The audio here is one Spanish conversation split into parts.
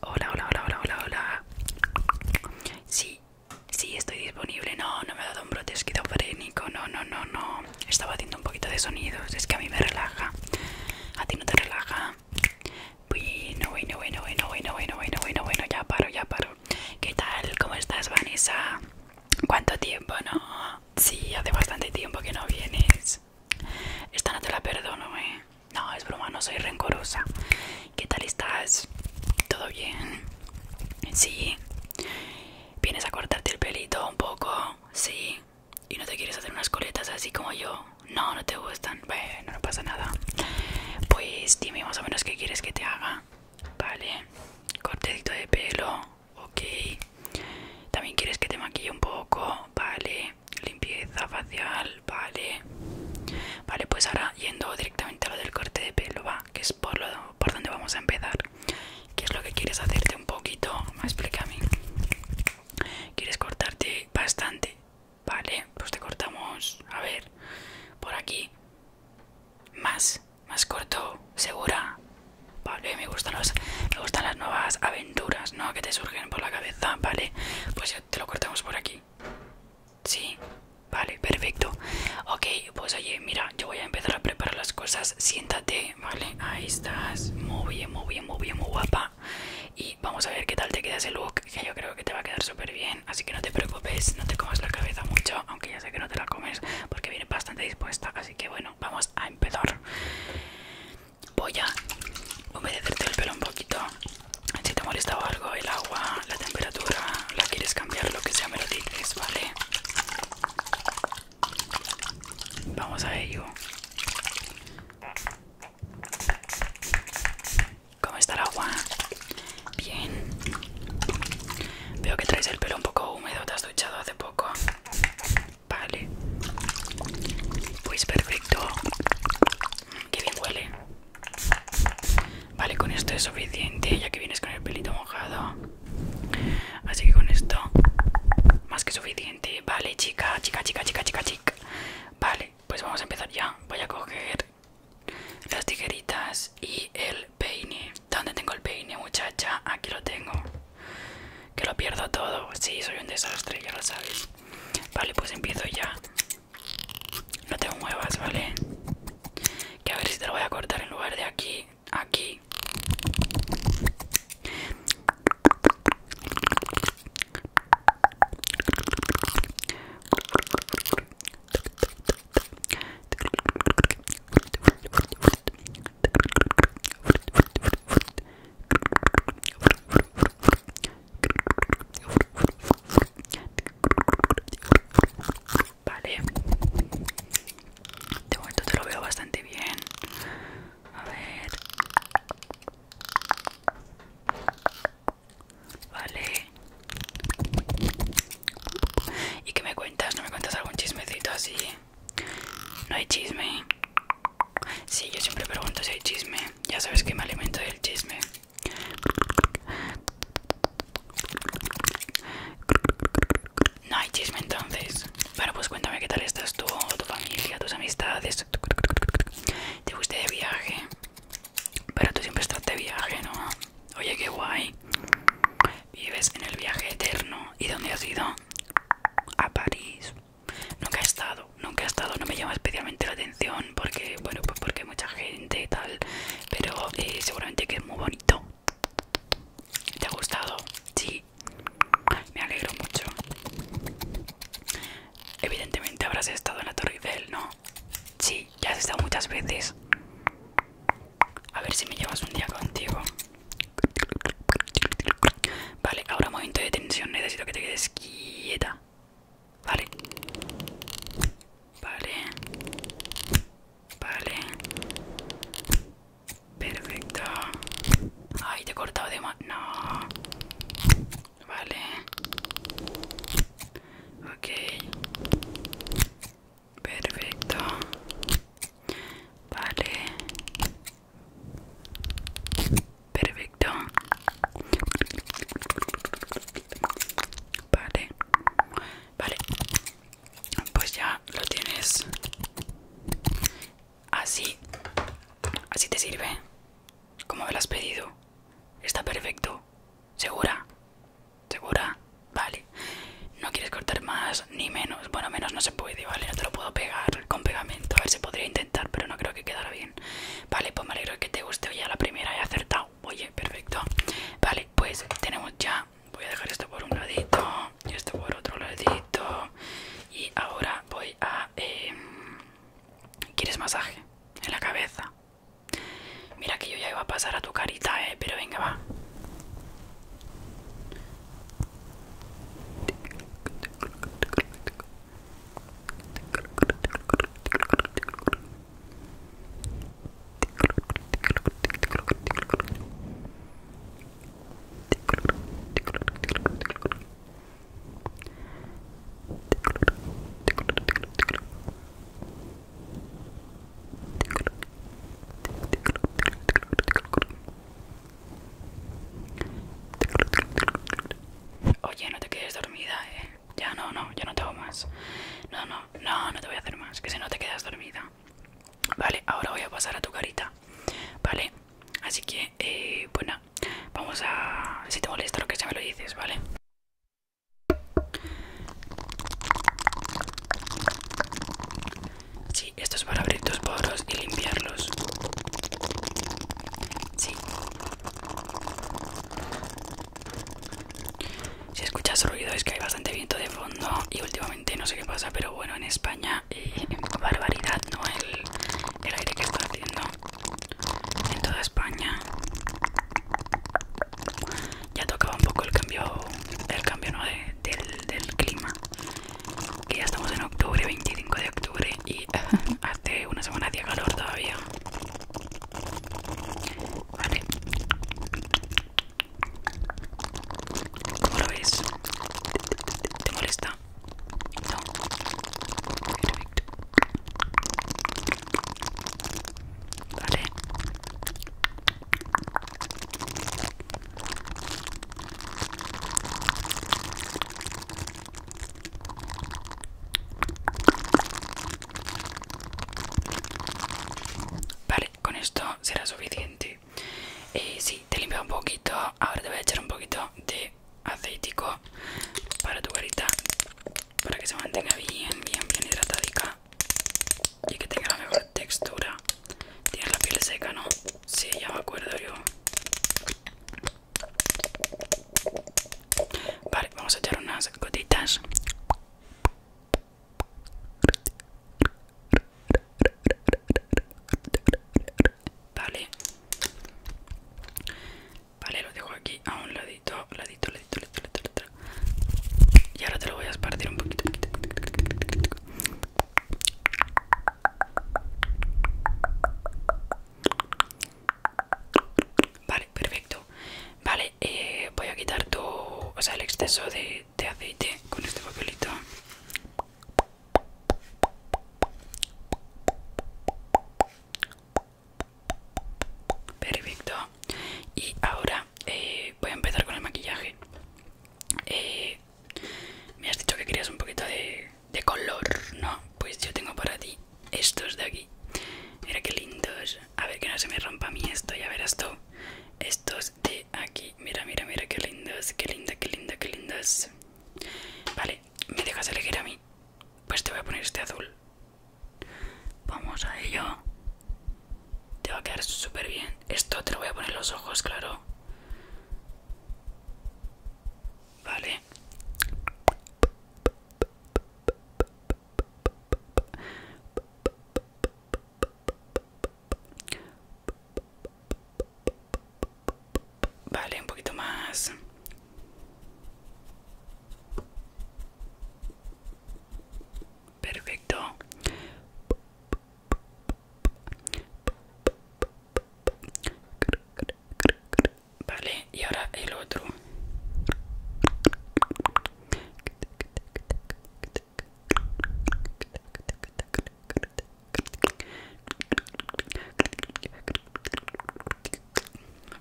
Hola, hola, hola, hola, hola, hola. Sí, sí, estoy disponible. No, no me ha dado un brote esquizofrénico. No, no, no, no. Estaba haciendo un poquito de sonidos. Es que a mí me relaja. A ti no te relaja. Bueno, bueno, bueno, bueno, bueno, bueno, bueno, bueno, bueno. Ya paro, ya paro. ¿Qué tal? ¿Cómo estás, Vanessa? ¿Cuánto tiempo, no? Sí, hace bastante tiempo que no vienes. Esta no te la perdono, eh. No, es broma, no soy rencorosa. ¿Qué tal estás? ¿Todo bien? Sí. ¿Vienes a cortarte el pelito un poco? Sí. ¿Y no te quieres hacer unas coletas así como yo? No, no te gustan. Bueno, no pasa nada. Pues dime más o menos qué quieres que te haga. Vale. Cortadito de pelo ok. También quieres que te maquille un poco, vale. Limpieza facial, vale. Vale, pues ahora yendo directamente a lo del corte de pelo, va, que es por, lo, por donde vamos a empezar. ¿Qué es lo que quieres hacerte un poquito? Me explícame. ¿Quieres cortarte bastante? Vale, pues te cortamos, a ver, por aquí más, más corto, segura. Vale, me gustan, los, me gustan las nuevas aventuras, ¿no? Que te surgen por la cabeza, ¿vale? Pues ya te lo cortamos por aquí. Sí, vale, perfecto. Ok, pues oye, mira, yo voy a empezar a preparar las cosas. Siéntate, ¿vale? Ahí estás. Muy bien, muy bien, muy bien, muy guapa. Y vamos a ver qué tal te queda ese look, que yo creo que te va a quedar súper bien. Así que no te preocupes, no te comas la cabeza mucho, aunque ya sé que no te la comes, porque viene bastante dispuesta. Así que bueno, vamos a empezar. Voy a humedecerte el pelo un poquito. Si te molesta algo, el agua, la temperatura, la quieres cambiar, lo que sea, me lo dices, ¿vale? Vamos a ello. ¿Cómo está el agua? Bien. Veo que traes el pelo un poco húmedo, te has duchado hace poco. Vale. Pues perfecto. Qué bien huele. Vale, con esto es suficiente, ya que vienes con el pelito mojado. Así que con esto, más que suficiente. Vale, chica, chica, chica, chica, chica, chica. Vale, pues vamos a empezar ya. Voy a coger las tijeritas y el peine. ¿Dónde tengo el peine, muchacha? Aquí lo tengo. Que lo pierdo todo. Sí, soy un desastre, ya lo sabes. Vale, pues empiezo ya. No te muevas, ¿vale? Que a ver si te lo voy a cortar en lugar de aquí. Aquí. Vale, de momento te lo veo bastante bien. A ver, vale, ¿Y qué me cuentas? ¿No me cuentas algún chismecito así? ¿No hay chisme? Sí, yo siempre pregunto si hay chisme. Ya sabes que me alimento del chisme. No hay chisme entonces. Bueno, pues cuéntame qué tal estás tú, tu familia, tus amistades. ¿Te gusta de viaje? Pero tú siempre estás de viaje, ¿no? Oye, qué guay. Vives en el viaje eterno. ¿Y dónde has ido? A París. Nunca he estado, nunca he estado. No me llama especialmente la atención porque, bueno, pues porque hay mucha gente y tal. Pero eh, seguramente que es muy bonito. ¿Te ha gustado? Sí. Me alegro mucho. Evidentemente habrás estado en la Torre Eiffel, ¿no? Sí, ya has estado muchas veces. A ver si me llevas un día contigo. Vale, ahora momento de tensión. Necesito que te quedes quieta. Vale. Vale. Vale. Perfecto. Ay, te he cortado de más. No. Vale. Ok perfecto vale perfecto vale vale pues ya lo tienes así así te sirve como me lo has pedido está perfecto segura ¿Segura? Vale. No quieres cortar más ni menos. Bueno, menos no se puede, ¿vale? No te lo puedo pegar con pegamento. A ver, se podría intentar, pero no creo que quedara bien. Vale, pues me alegro que te guste. Oye, a la primera he acertado. Oye, perfecto. Vale, pues tenemos ya. Voy a dejar esto por un ladito y esto por otro ladito. Y ahora voy a... Em, ¿Quieres masaje? En la cabeza. Mira que yo ya iba a pasar a tu carita, eh, pero venga, va. Oye, no te quedes dormida, eh. Ya no, no, ya no te hago más. No, no, no, no te voy a hacer más. Que si no te quedas dormida. Vale, ahora voy a pasar a tu carita. Vale, así que, eh, bueno, pues vamos a. Si te molesta lo que sea me lo dices, ¿vale? Sí, esto es para abrir tus poros y limpiarlos. Sí. Si escuchas ruido es que hay bastante viento de fondo y últimamente no sé qué pasa, pero bueno, en España eh, barbaridad, ¿no? El, el aire que está haciendo en toda España ya tocaba un poco el cambio el cambio del, clima que ya estamos en octubre 25 de octubre y hace una semana hacía calor todavía vale ¿Cómo lo ves? ¿Te molesta? No. Perfecto. Vale. con esto será suficiente. y eh, sí, te limpia un poquito. Ahora te voy a echar un poquito de aceitico para tu carita para que se mantenga bien, bien, bien hidratadica y que tenga la mejor textura. Tiene la piel seca, ¿no? Sí, ya me acuerdo yo. Vale, vamos a echar unas gotitas. Vale, Vale, lo dejo aquí a un ladito, ladito, ladito, ladito, ladito, ladito. Y ahora te lo voy a esparcir un poquito. Vale, perfecto. Vale, eh, voy a quitar tu, o sea, el exceso de, de aceite con este papelito perfecto y ahora eh, voy a empezar con el maquillaje eh, me has dicho que querías un poquito de, color no pues yo tengo para ti estos de aquí mira qué lindos a ver que no se me rompa a mí esto ya verás tú estos de aquí mira mira mira qué lindos qué linda qué linda qué lindas vale me dejas elegir a mí pues te voy a poner este azul Vamos a ello. Te va a quedar súper bien. Esto te lo voy a poner los ojos, claro. Vale. Vale, un poquito más. Perfecto. Vale, y ahora el otro.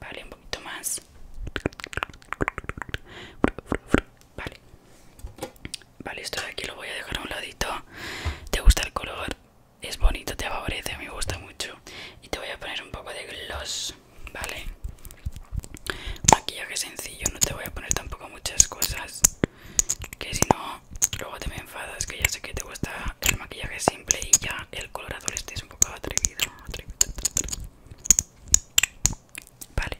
Vale, un poquito más. Vale. Vale, esto de aquí lo voy a dejar a un ladito. ¿Te gusta el color? Es bonito, te favorece, me gusta mucho. Y te voy a poner un poco de gloss, ¿vale? Maquillaje sencillo, no te voy a poner tampoco muchas cosas. Que si no, luego te me enfadas, que ya sé que te gusta el maquillaje simple y ya el color azul este es un poco atrevido vale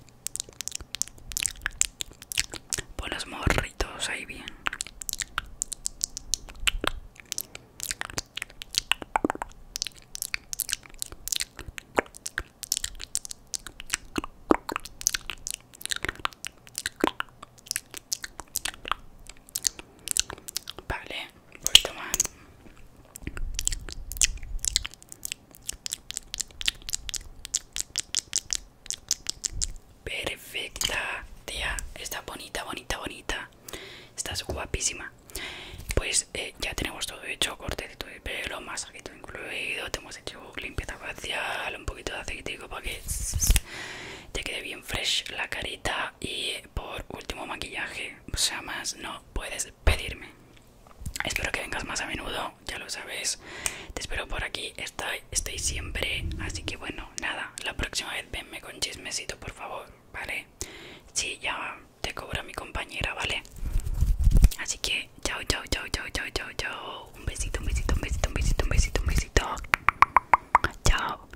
pon los morritos ahí bien Vale, un poquito Perfecta, tía. Está bonita, bonita, bonita. Estás guapísima. Pues eh, ya tenemos todo hecho: cortecito de pelo, masajito incluido. Te hemos hecho limpieza facial, un poquito de aceitico para que te quede bien fresh la carita. Y por último maquillaje, o sea, más no puedes pedirme. Espero que vengas más a menudo, ya lo sabes. Te espero por aquí, estoy, estoy siempre. Así que bueno, nada, la próxima vez venme con chismecito, por favor, ¿vale? Sí, ya te cobra mi compañera, ¿vale? Así que, chao, chao, chao, chao, chao, chao, chao. Un besito, un besito, un besito, un besito, un besito, un besito. Chao.